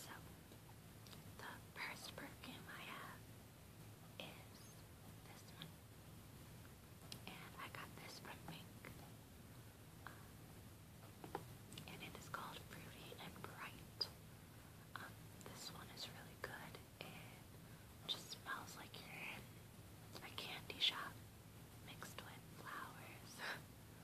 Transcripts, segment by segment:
So, the first perfume I have is this one. And I got this from Mink. Um, and it is called Fruity and Bright. Um, this one is really good. It just smells like you're in a candy shop mixed with flowers.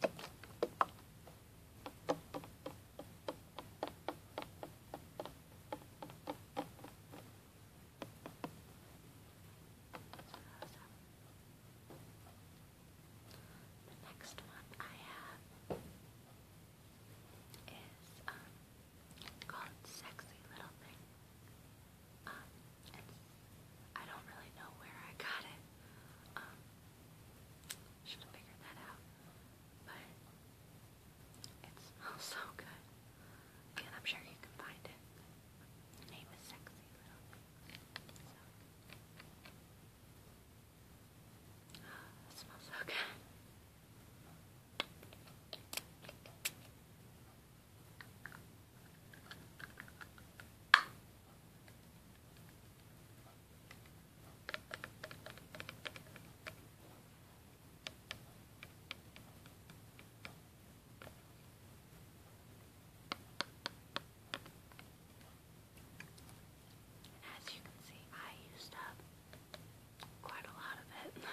The next one I have is um, called Sexy Little Thing. Um, I don't really know where I got it. Um, should have figured that out, but it smells so good, and I'm sure you can find it. name is Sexy Little Thing. Oh, it smells so good. And as you can see, I used up quite a lot of it.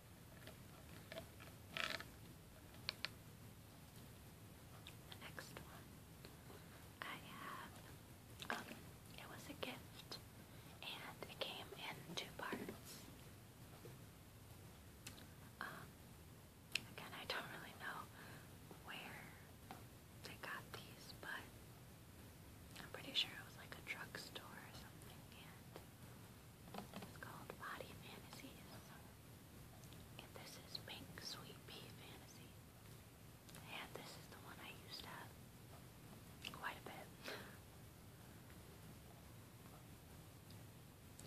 next one I have, um, it was a gift and it came in two parts. Um, again, I don't really know where they got these, but I'm pretty sure it was like a drugstore or something, and it's called Body Fantasies. And this is Pink Sweet Pea Fantasy. And this is the one I used to have quite a bit.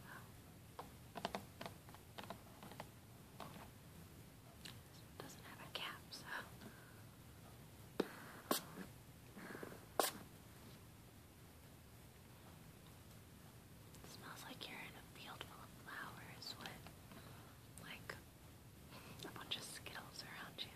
wow. This one doesn't have a cap, so. It smells like you're in a field full of flowers with like a bunch of skittles around you.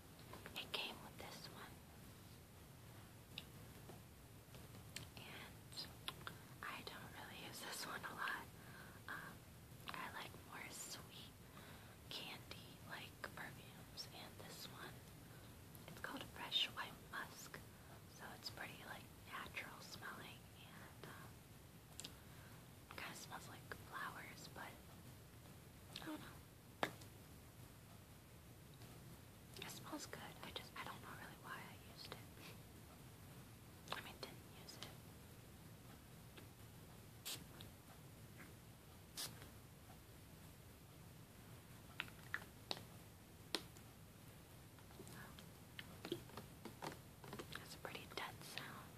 it came with this one. And I don't really use this one a lot. Um, I like more sweet candy like perfumes, and this one, it's called Fresh White Musk. So it's pretty like natural smelling and um, kind of smells like flowers, but I don't know. It smells good. I just I don't know really why I used it. I mean didn't use it. That's a pretty dead sound.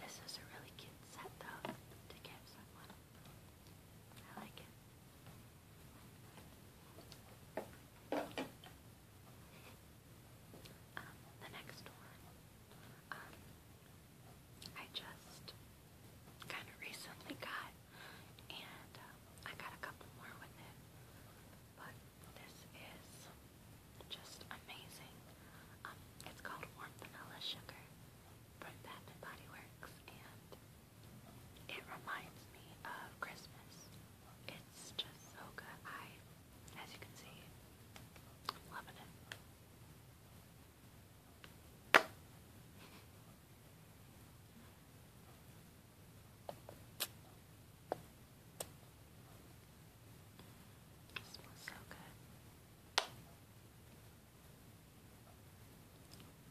This is a really cute set though to get someone. I like it. Um, the next one, um, I just kind of recently got, and um, I got a couple more with it, but this is just amazing. Um, it's called Warm Vanilla Sugar from Bath and Body Works, and it reminds me of Christmas. It's just so good. I, as you can see, loving it. It smells so good.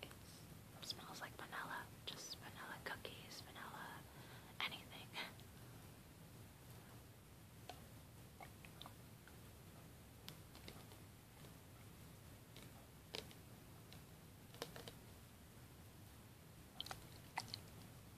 It smells like vanilla. Just vanilla cookies, vanilla anything.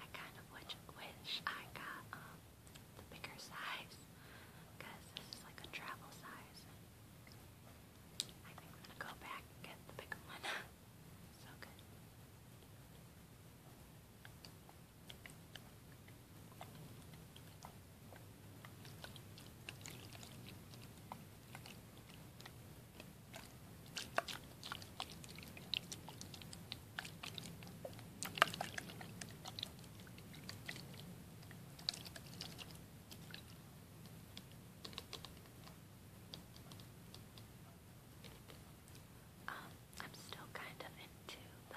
I kind of wish, I got um, the bigger size because this is like a travel size. I think I'm gonna go back get the bigger one. so good. Um, I'm still kind of into the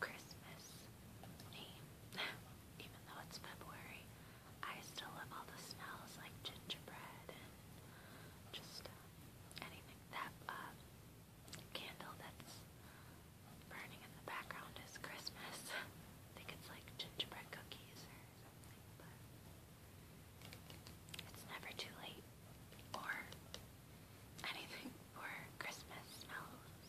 Christmas Even though it's February, I still love all the smells like gingerbread and just uh, anything. That uh, candle that's burning in the background is Christmas. I think it's like gingerbread cookies it's never too late or anything for Christmas smells.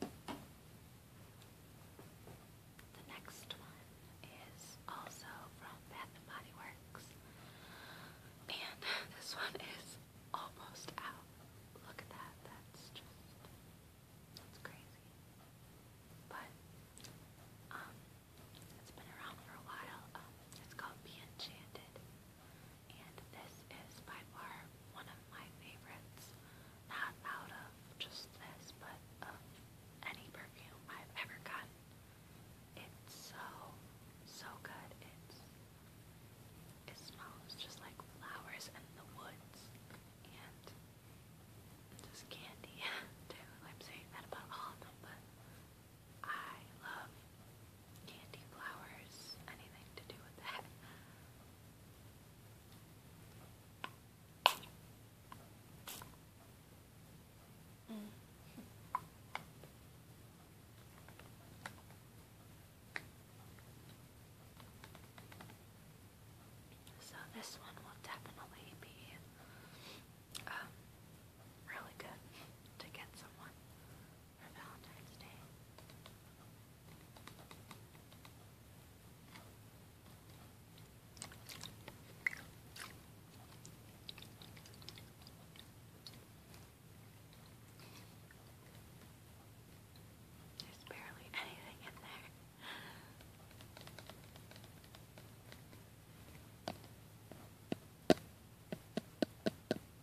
The next one is also from Bath and Body Works. And this one is almost out. Look at that. That's just that's crazy. But um it's been around for a while. Um it's called Be Enchanted. And this is by far one of my favorites. Not out of just this, but of any perfume I've ever gotten. It's so, so good. It's, it smells just like flowers and the woods. And just candy, too. I'm saying that about all of them, but I love candy, flowers, anything to do with that. So this one will definitely be um, really good to get someone there's barely anything in there.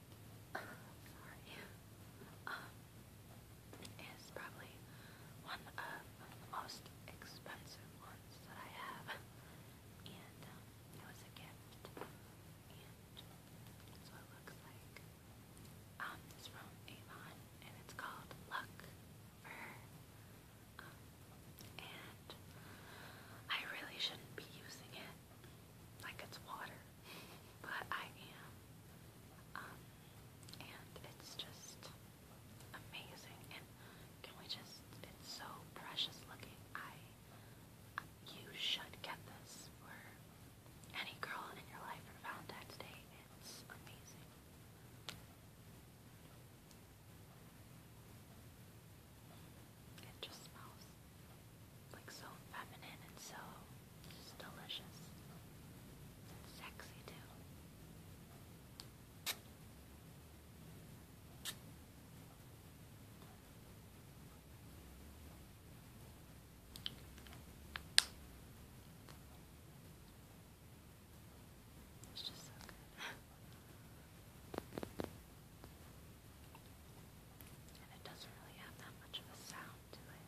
um, sorry, probably one of the most expensive ones that I have, and um, it was a gift, and that's it looks like. Um, it's from Avon, and it's called Luck and I really shouldn't be using it like it's water, but I am. Um, and it's just amazing. And can we just, it's so precious looking. I, you should get this. Or any girl in your life for Valentine's Day. It's amazing. It just smells like so feminine and so delicious and sexy too. It's just so good. And it doesn't really have that much of a sound to it.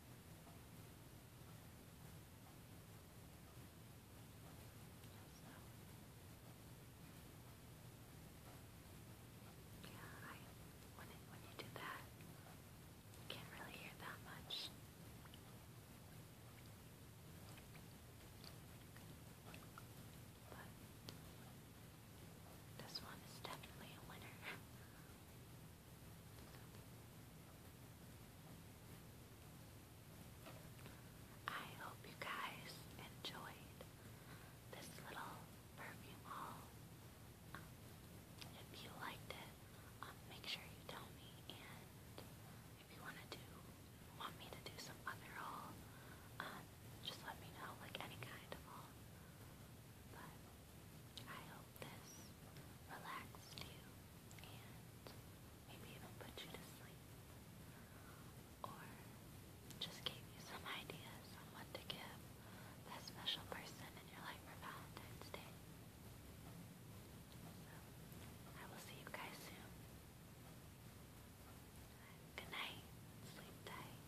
Yeah, I when when you do that, you can't really hear that much. But this one is definitely a winner. I hope you guys enjoyed this little perfume haul. if you liked it, um, make sure you tell me. And if you want to do, want me to do some other haul, um, just let me know, like any kind of haul. But I hope this relaxed you and maybe even put you to sleep or just gave you some ideas on what to give that special person in your life for Valentine's Day. So, I will see you guys soon. Good night. Sleep tight.